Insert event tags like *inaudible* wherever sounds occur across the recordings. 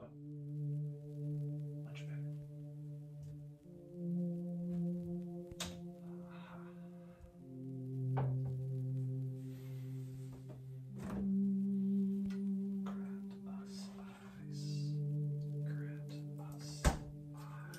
Oh, much Grant us eyes. Grant us eyes.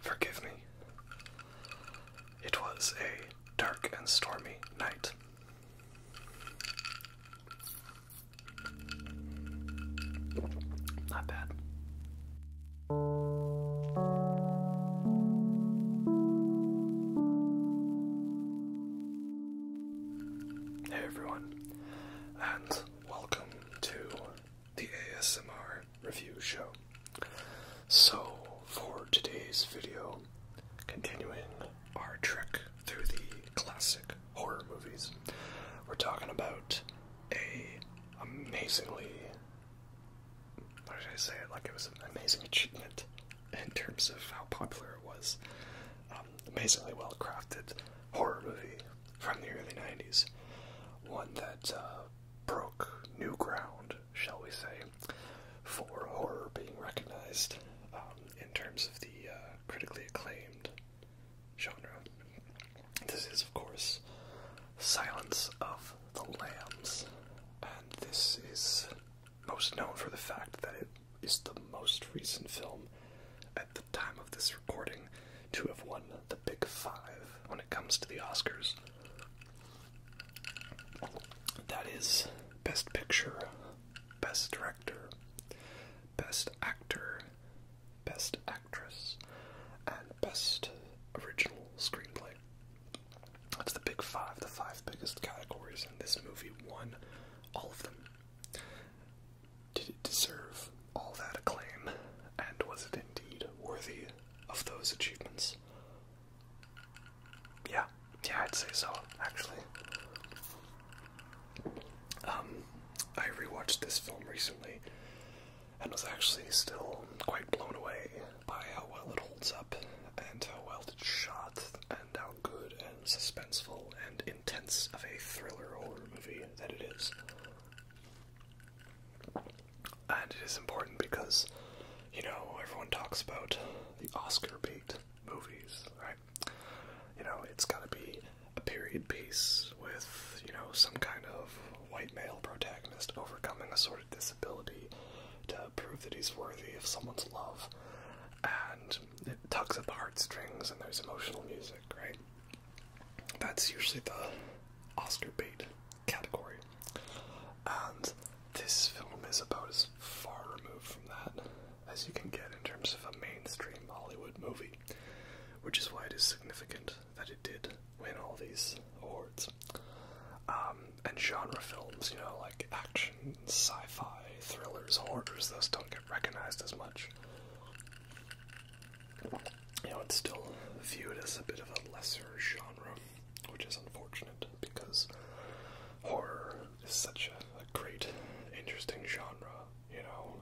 forgive me. It was a dark and stormy night. Not bad. Hey everyone, and welcome to the ASMR review show. So, for today's video, continuing our trek through the classic horror movies, we're talking about a amazingly how should I say it? Like it was an amazing achievement in terms of how popular it was. Um, amazingly well crafted horror movie from the early '90s, one that uh, broke new ground, shall we say, for horror being recognized um, in terms of the uh, critically acclaimed genre. This is, of course, Silence of the Lambs, and this is most known for the fact that it is the most recent film at the time of this recording to have won the Big Five when it comes to the Oscars. That is Best Picture, Best Director, Best Actor, Best Actor. Actress and Best Original Screenplay. That's the big five, the five biggest categories, in this movie won all of them. Did it deserve all that acclaim, and was it indeed worthy of those achievements? Yeah, yeah, I'd say so, actually. Um, I rewatched this film recently and was actually still quite blown away by how well it holds up and how well it's shot and how good and suspenseful and intense of a thriller horror movie that it is. And it is important because, you know, everyone talks about the Oscar bait movies, right? You know, it's gotta be a period piece with, you know, some kind of white male protagonist overcoming a sort of disability to prove that he's worthy of someone's love. And it tugs at the heartstrings and there's emotional music, right? That's usually the Oscar bait category. And this film is about as far removed from that as you can get in terms of a mainstream Hollywood movie which is why it is significant that it did win all these awards. Um, and genre films, you know, like action, sci fi, thrillers, horrors, those don't get recognized as much. You know, it's still viewed as a bit of a lesser genre, which is unfortunate because horror is such a great, interesting genre you know,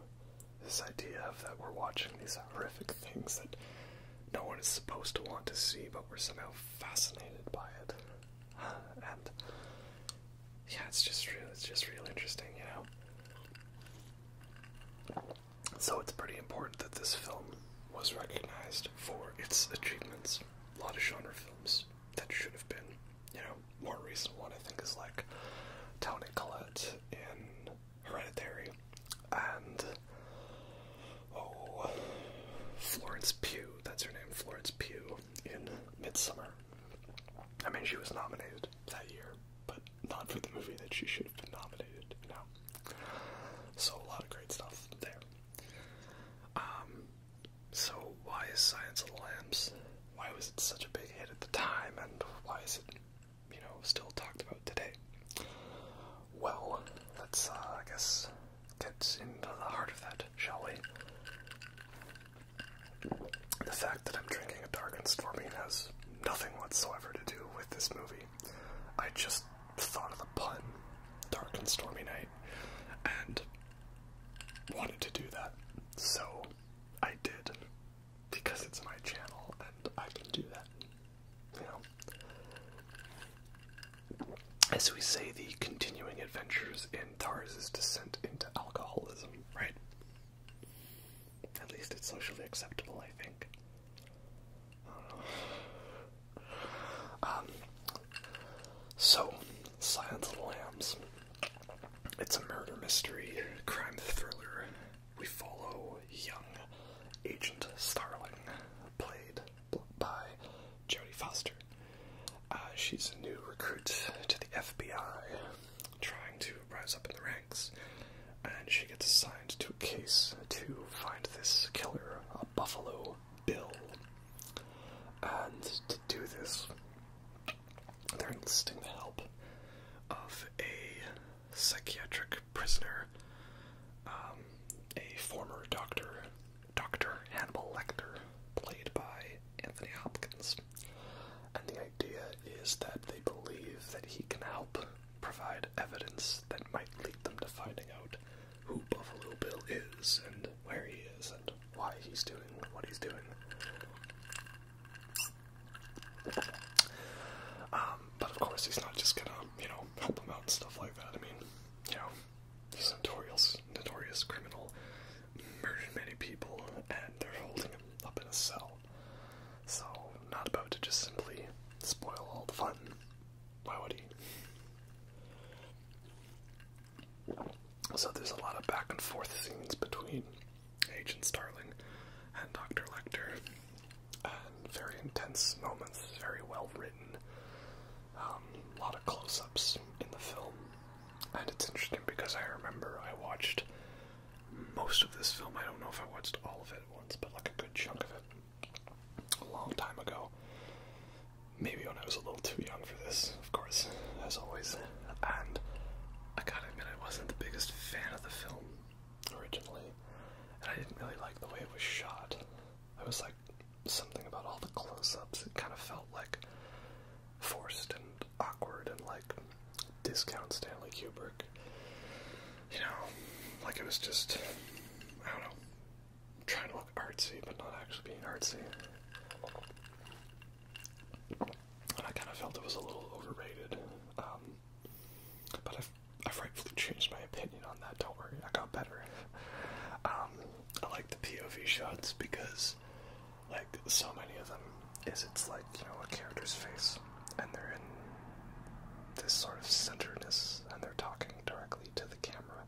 this idea of that we're watching these horrific things that no one is supposed to want to see, but we're somehow fascinated by it. *sighs* And yeah, it's just real. It's just real interesting, you know. So it's pretty important that this film was recognized for its achievements. A lot of genre films that should have been, you know, more recent one, I think, is like Tony Collette in Hereditary, and oh, Florence Pugh, that's her name, Florence Pugh in Midsummer. I mean, she was nominated that year, but not for the movie that she should have been nominated, you So, a lot of great stuff there. Um, so, why is Science of Lambs why was it such a big hit at the time, and why is it, you know, still talked about today? Well, let's, uh, I guess, get into the heart of that, shall we? The fact that I'm drinking a dark and stormy has nothing whatsoever to do with this movie. I just thought of the pun, dark and stormy night, and wanted to do that, so I did because it's my channel and I can do that. You know. As we say, the continuing adventures in Tarz's descent into alcoholism, right? At least it's socially acceptable, I think. *sighs* Um, so, science of Lambs. It's a murder mystery, crime thriller. We follow young Agent Starling, played by Jodie Foster. Uh, she's a new recruit to the FBI, trying to rise up in the ranks, and she gets assigned to a case to find this killer, a Buffalo Bill. And to do this, they're enlisting the help of a psychiatric prisoner, um, a former doctor, Dr. Hannibal Lecter, played by Anthony Hopkins. And the idea is that they believe that he can help provide evidence that might lead them to finding out who Buffalo Bill is and where he is and why he's doing what he's doing. Um, but of course, he's not just gonna, you know, help him out and stuff like that. I mean, you know, notorious, notorious criminal, murdered many people, and they're holding him up in a cell. So, not about to just simply spoil all the fun. Why would he? So there's a lot of back and forth scenes between Agent Starling and Dr. Lecter, and very intense moments, very well written. a um, lot of close ups in the film. And it's interesting because I remember I watched most of this film. I don't know if I watched all of it at once, but like a good chunk of it a long time ago. Maybe when I was a little too young for this, of course, as always. And I gotta admit, I wasn't the biggest fan of the film originally, and I didn't really like the way it was shot. I was like, something about all the close ups, it kind of felt like forced and awkward and like discount Stanley Kubrick. You know, like it was just, I don't know, trying to look artsy but not actually being artsy and I kind of felt it was a little overrated. Um, but I've, rightfully changed my opinion on that. Don't worry, I got better. Um, I like the POV shots because, like, so many of them is it's like you know a character's face, and they're in this sort of centeredness, and they're talking directly to the camera.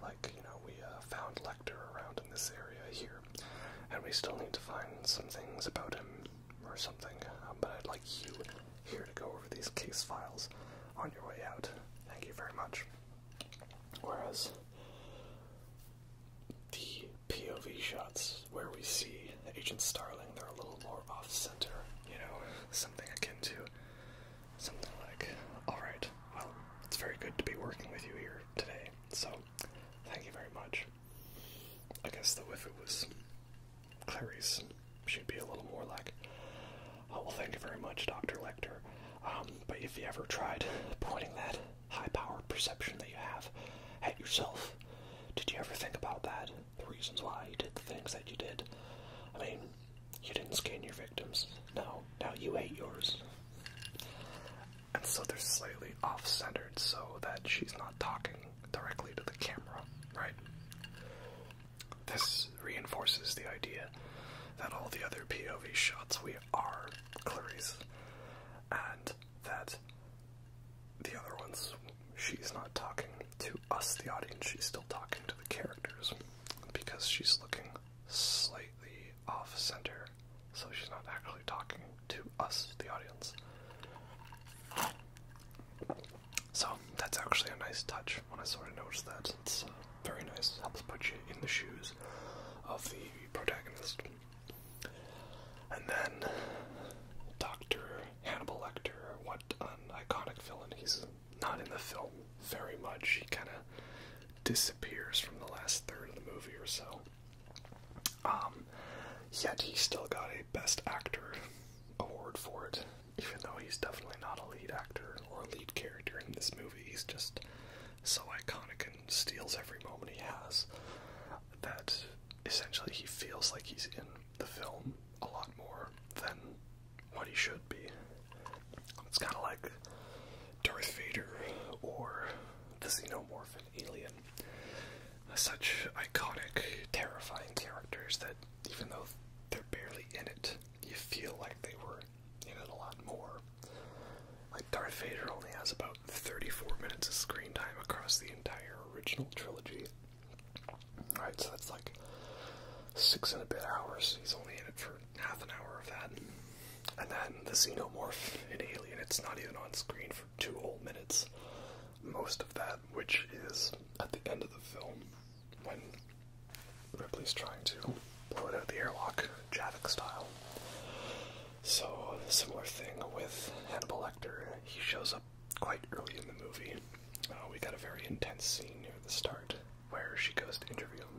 Like you know, we uh, found like around in this area here, and we still need to find some things about him or something. Um, but I'd like you here to go over these case files on your way out. Thank you very much. Whereas the POV shots where we see Agent Starling, they're a little more off center, you know, something akin to something like, alright, well, it's very good to be working with you here today, so Thank you very much. I guess though if it was Clarice, she'd be a little more like, oh well, thank you very much, Doctor Lecter. Um, but if you ever tried pointing that high-powered perception that you have at yourself, did you ever think about that? The reasons why you did the things that you did. I mean, you didn't scan your victims. No, now you ate yours and so they're slightly off centered so that she's not talking directly to the camera, right? This reinforces the idea that all the other POV shots we are Clarice, and that the other ones she's not talking to us, the audience, she's still talking to the characters because she's looking slightly off center so she's not actually talking to us, the audience. So that's actually a nice touch. When I sort of noticed that, it's uh, very nice. Helps put you in the shoes of the protagonist. And then Doctor Hannibal Lecter. What an iconic villain! He's not in the film very much. He kind of disappears from the last third of the movie or so. Um, yet he still got a Best Actor award for it, even though he's definitely not a lead actor or a lead character in this movie. He's just so iconic and steals every moment he has that essentially he feels like he's in the film a lot more than what he should be. It's kind of like Darth Vader or the Xenomorph and Alien. Such iconic, terrifying characters that even though they're barely in it, you feel like they were in it a lot more. Like Darth Vader only has about 34 minutes of screen time across the entire original trilogy. Alright, so that's like six and a bit hours. He's only in it for half an hour of that. And then the xenomorph in Alien, it's not even on screen for two whole minutes. Most of that, which is at the end of the film, when Ripley's trying to blow it out the airlock, Javic style. So, similar thing with Hannibal Lecter. He shows up quite early in the movie. Uh, we got a very intense scene near the start, where she goes to interview him,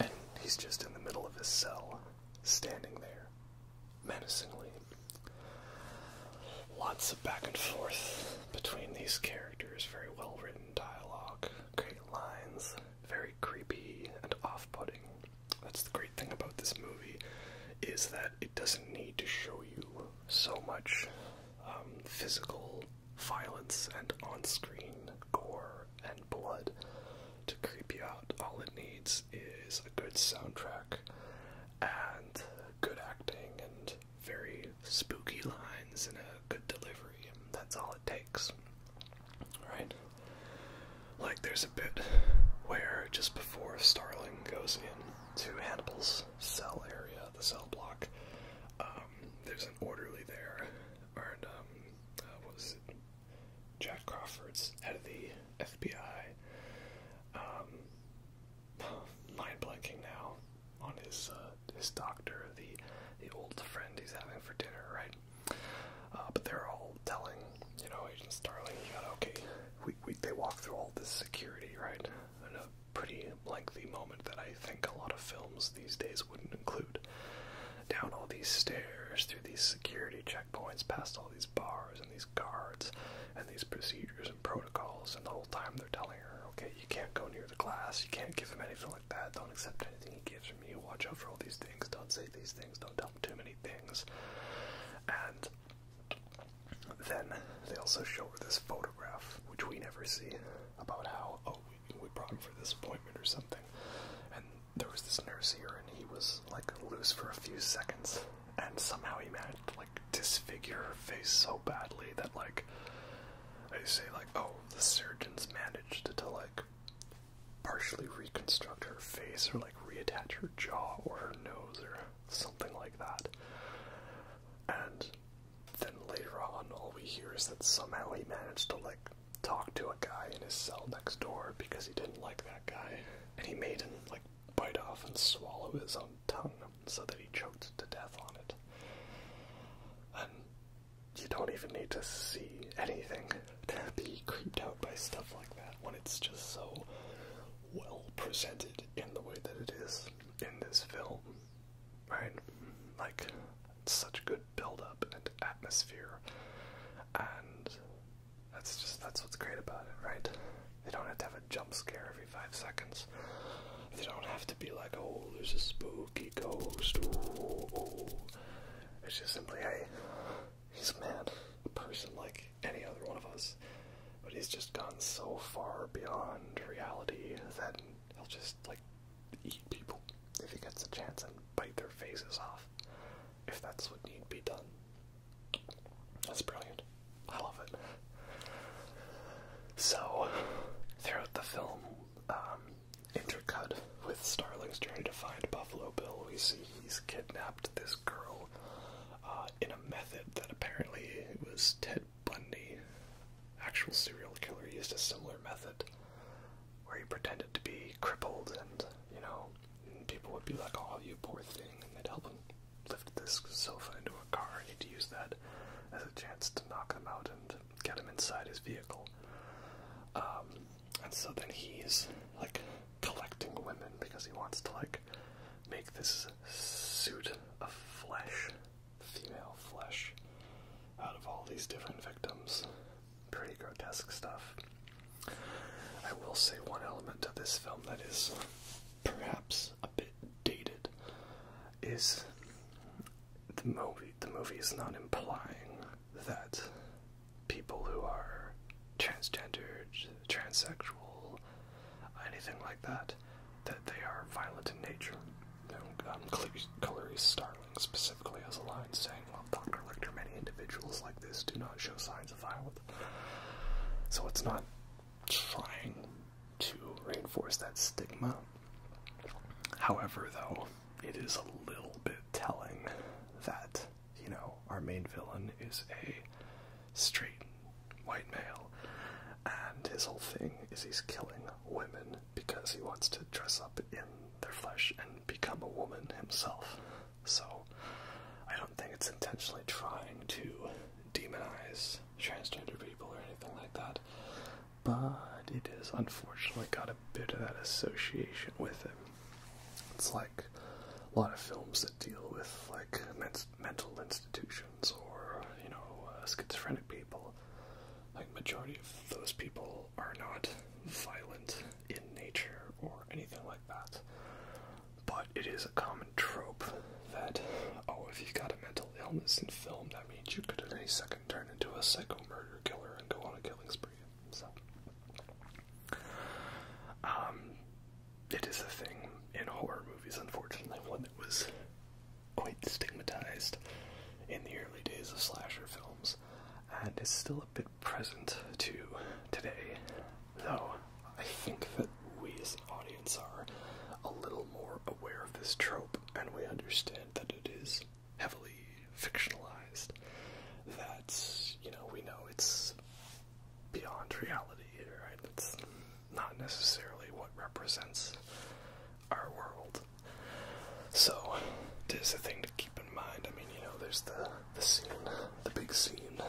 and he's just in the middle of his cell, standing there, menacingly. Lots of back and forth between these characters, very well written dialogue, great lines, very creepy and off putting. That's the great thing about this movie is that it doesn't need to show you so much um, physical violence and on-screen gore and blood to creep you out. All it needs is a good soundtrack and good acting and very spooky lines and a good delivery, and that's all it takes. Right? Like, there's a bit where just before Starling goes in to Hannibal's cell area, the cell block, um, there's an orderly there, and. Um, uh, was Jack Crawford's head of the FBI. Um, *sighs* mind blanking now on his uh, his doctor, the the old friend he's having for dinner, right? Uh, but they're all telling, you know, Agent Starling, you okay. We, we they walk through all this security, right? In a pretty lengthy moment that I think a lot of films these days wouldn't include. Down all these stairs, through these security checkpoints, past all these bars and these guards and these procedures and protocols, and the whole time they're telling her, okay, you can't go near the glass, you can't give him anything like that, don't accept anything he gives from you, watch out for all these things, don't say these things, don't tell too many things. And then they also show her this photograph, which we never see, about how, oh, we brought him for this appointment or something. And there was this nurse here, and he was like loose for a few seconds, and somehow he managed to like disfigure her face so badly that like I say like, oh, the surgeons managed to like partially reconstruct her face or like reattach her jaw or her nose or something like that. And then later on, all we hear is that somehow he managed to like talk to a guy in his cell next door because he didn't like that guy, and he made him like bite off and swallow his own tongue so that he choked to death on it. you don't even need to see anything to be creeped out by stuff like that when it's just so well presented in the way that it is in this film right? Like such good build up and atmosphere, and that's just that's what's great about it, right? They don't have to have a jump scare every five seconds. They don't have to be like, oh, there's a spooky ghost. It's just simply, hey, he's a man, a person like any other one of us, but he's just gone so far beyond reality that he'll just like eat people if he gets a chance and bite their faces off if that's what needs to be done. That's brilliant. I love it. So, throughout the film, um, intercut with Starling's journey to find Buffalo Bill, we see he's kidnapped this girl uh, in a method that apparently was Ted Bundy actual serial killer used a similar method where he pretended to be crippled and, you know, people would be like, oh, you poor thing, and they'd help him lift this sofa into a car and he'd use that as a chance to knock him out and get him inside his vehicle. Um, and so then he's, like, collecting women because he wants to, like, make this suit of flesh female flesh out of all these different victims. Pretty grotesque stuff. I will say one element of this film that is perhaps a bit dated is the movie the movie is not implying that people who are transgendered, transsexual, anything like that, that they are violent in nature um, Clary Starling specifically has a line saying, Well, Dr. Lichter, many individuals like this do not show signs of violence. So it's not trying to reinforce that stigma. However, though, it is a little bit telling that, you know, our main villain is a straight white male, and his whole thing is he's killing women because he wants to dress up in their flesh and become a woman himself. So I don't think it's intentionally trying to demonize transgender people or anything like that. But it has unfortunately got a bit of that association with it. It's like a lot of films that deal with like mental institutions or you know uh, schizophrenic people like majority of those people are not violent in nature or anything like that. But it is a common trope that oh, if you've got a mental illness in film, that means you could at any second turn into a psycho murder killer and go on a killing spree. So, um, it is a thing in horror movies, unfortunately, one that was quite stigmatized in the early days of slasher films, and is still a bit present to today, though I think that we as an audience are a little more aware of this trope, and we understand that it is heavily fictionalized, that, you know, we know it's beyond reality, right? It's not necessarily what represents our world so, there's a thing to keep in mind. I mean, you know, there's the the scene, the big scene,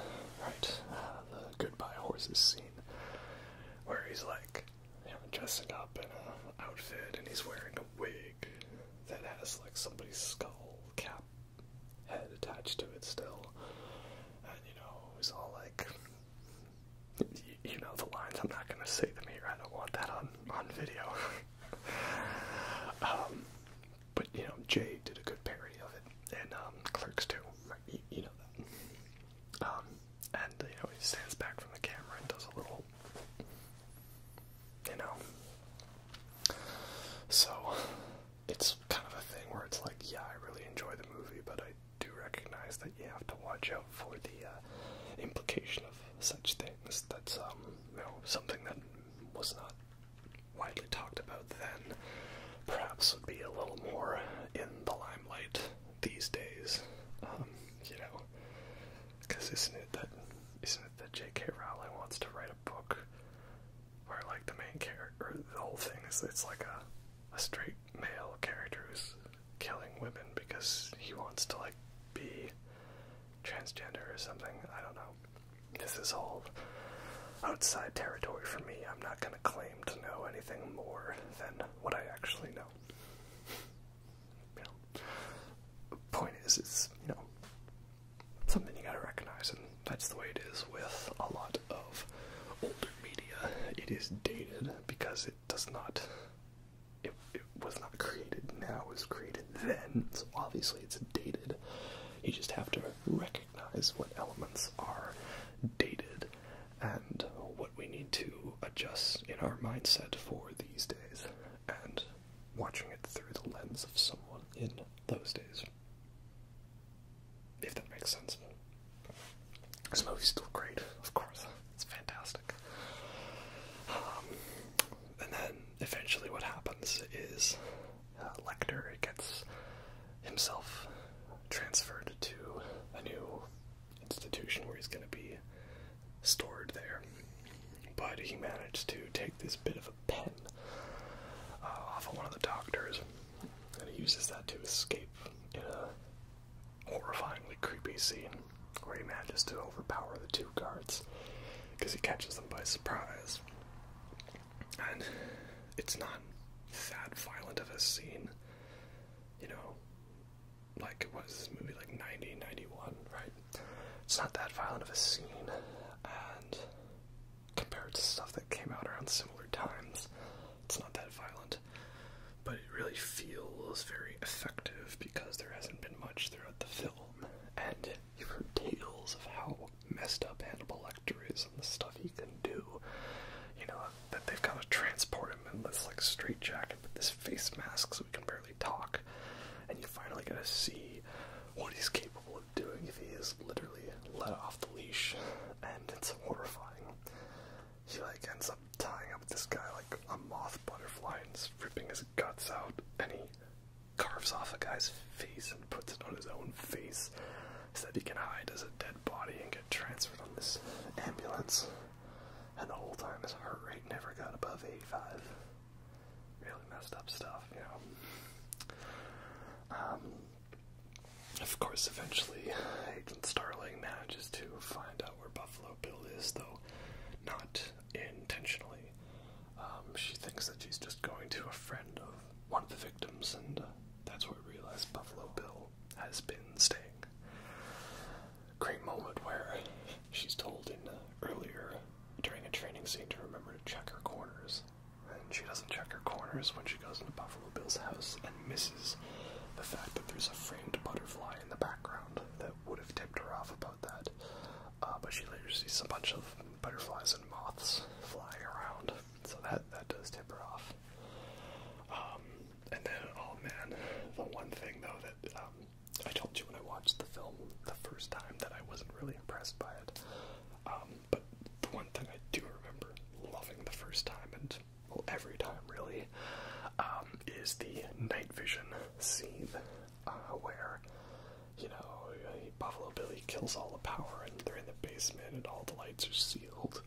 right? Uh, the goodbye horses scene, where he's like, you know, dressing up in a outfit, and he's wearing a wig that has like somebody's skull cap head attached to it still, and you know, he's all like, you know the lines. I'm not gonna say them here. I don't want that on on video. *laughs* Um, but you know, Jay did a good parody of it, and um, Clerks too. Right? You, know that. Um, and you know he stands back from the camera and does a little, you know. So it's kind of a thing where it's like, yeah, I really enjoy the movie, but I do recognize that you have to watch out for the uh, implication of such things. That's um, you know, something that was not widely talked about then. Perhaps would be a little more in the limelight these days. Um, you know, because isn't it that isn't it that J.K. Rowling wants to write a book where like the main character, the whole thing is it's like a a straight male characters killing women because he wants to like be transgender or something. I don't know. This is all outside territory for me. I'm not going to claim to know anything more than what I actually know. you know. Point is, it's, you know, something you gotta recognize, and that's the way it is with a lot of older media. It is dated because it it does not it, was not created now, it was created then, so obviously it's dated. You just have to recognize what elements are dated and what we need to adjust in our mindset for these days and watching it through the lens of someone in those days. If that makes sense. This movie's still great, of course. It's fantastic. Um, and then eventually, what happens is uh, Lecter gets himself transferred to a new institution where he's going to be stored there. But he manages to take this bit of a pen uh, off of one of the doctors, and he uses that to escape in a horrifyingly creepy scene where he manages to overpower the two guards because he catches them by surprise. And it's not that violent of a scene, you know. Like, it was movie, like 90, right? It's not that violent of a scene, and compared to stuff that came out around similar times, it's not that violent, but it really feels very effective because there hasn't been much throughout the film. And you hear tales of how messed up Hannibal Lecter is and the stuff he can do. You know, that they've got to transport him in this like jacket with this face mask so we can barely talk. And you finally get to see what he's capable of doing if he is literally let off the leash, and it's horrifying he like ends up tying up this guy like a moth butterfly and ripping his guts out, and he carves off a guy's face and puts it on his own face so that he can hide as a dead body and get transferred on this ambulance. And the whole time his heart rate never got above 85. Really messed up stuff, you know. Um, of course, eventually, Agent Starling manages to find out where Buffalo Bill is, though not intentionally. Um, she thinks that she's just going to a friend of one of the victims, and uh, that's where we realize Buffalo Bill has been staying. Great moment where she's told in uh, earlier during a training scene to remember to check her corners, and she doesn't check her corners when she goes into Buffalo. Bill's house and misses the fact that there's a framed butterfly in the background that would have tipped her off about that. Uh, but she later sees a bunch of butterflies and moths flying around, so that that does tip her off. Um, and then, oh man, the one thing though that um, I told you when I watched the film the first time that I wasn't really impressed by it. Um, but the one thing I do remember loving the first time and well, every time really, um, is the night vision scene uh, where, you know, Buffalo Bill kills all the power and they're in the basement and all the lights are sealed.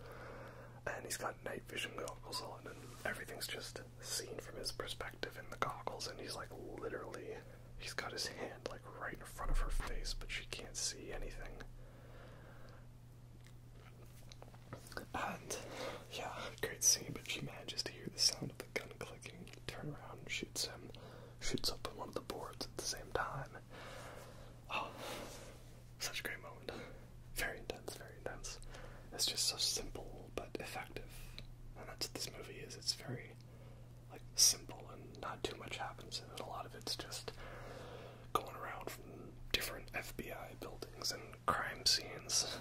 And he's got night vision goggles on, and everything's just seen from his perspective in the goggles. And he's like literally, he's got his hand like right in front of her face, but she can't see anything. And yeah, great scene, but she manages to hear the sound of the gun clicking, Turns around, shoots him, shoots up on one of the boards at the same time. Oh, such a great moment. Very intense, very intense. It's just so simple but effective. And that's what this movie is. It's very like simple and not too much happens And A lot of it's just going around from different FBI buildings and crime scenes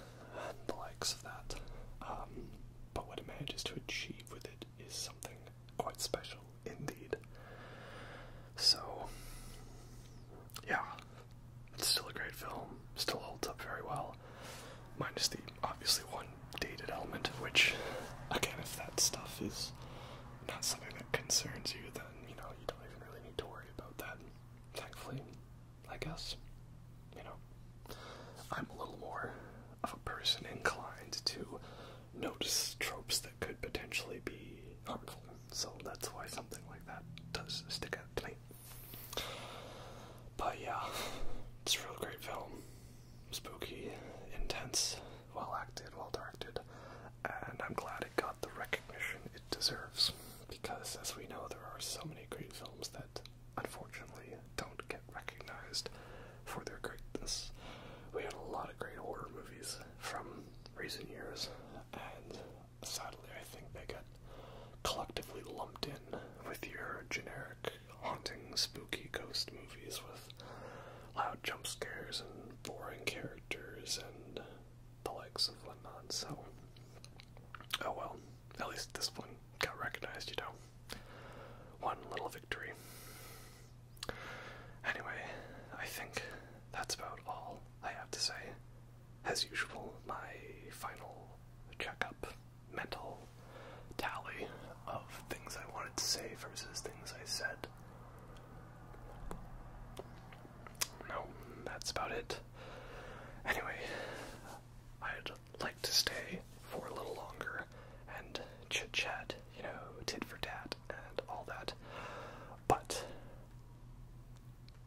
and the likes of that. Um, but what it manages to achieve with it is something quite special indeed. So, yeah, it's still a great film, still holds up very well, minus the obviously one dated element, which, again, if that stuff is not something that concerns you, then you know, you don't even really need to worry about that. Thankfully, I guess. You know, I'm a little more of a person inclined to notice tropes that could potentially be harmful, so that's why something like that does stick out to me. But yeah, it's a real great film. Spooky, intense, well acted, well directed and I'm glad it got the recognition it deserves because, as we know, there are so many great films that unfortunately don't get recognized for their greatness. We had a lot of great horror movies from recent years, and sadly, I think they get collectively lumped in with your generic haunting, spooky ghost movies with loud jump scares and boring characters and the likes of whatnot. So, oh well. At least this one got recognized, you know. One little victory. Anyway, I think that's about all I have to say. As usual, my final checkup, mental tally of things I wanted to say versus things I said no, that's about it. Anyway, I'd like to stay for a little longer and chit chat, you know, tit for tat and all that. But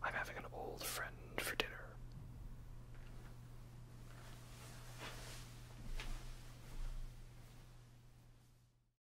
I'm having an old friend for dinner.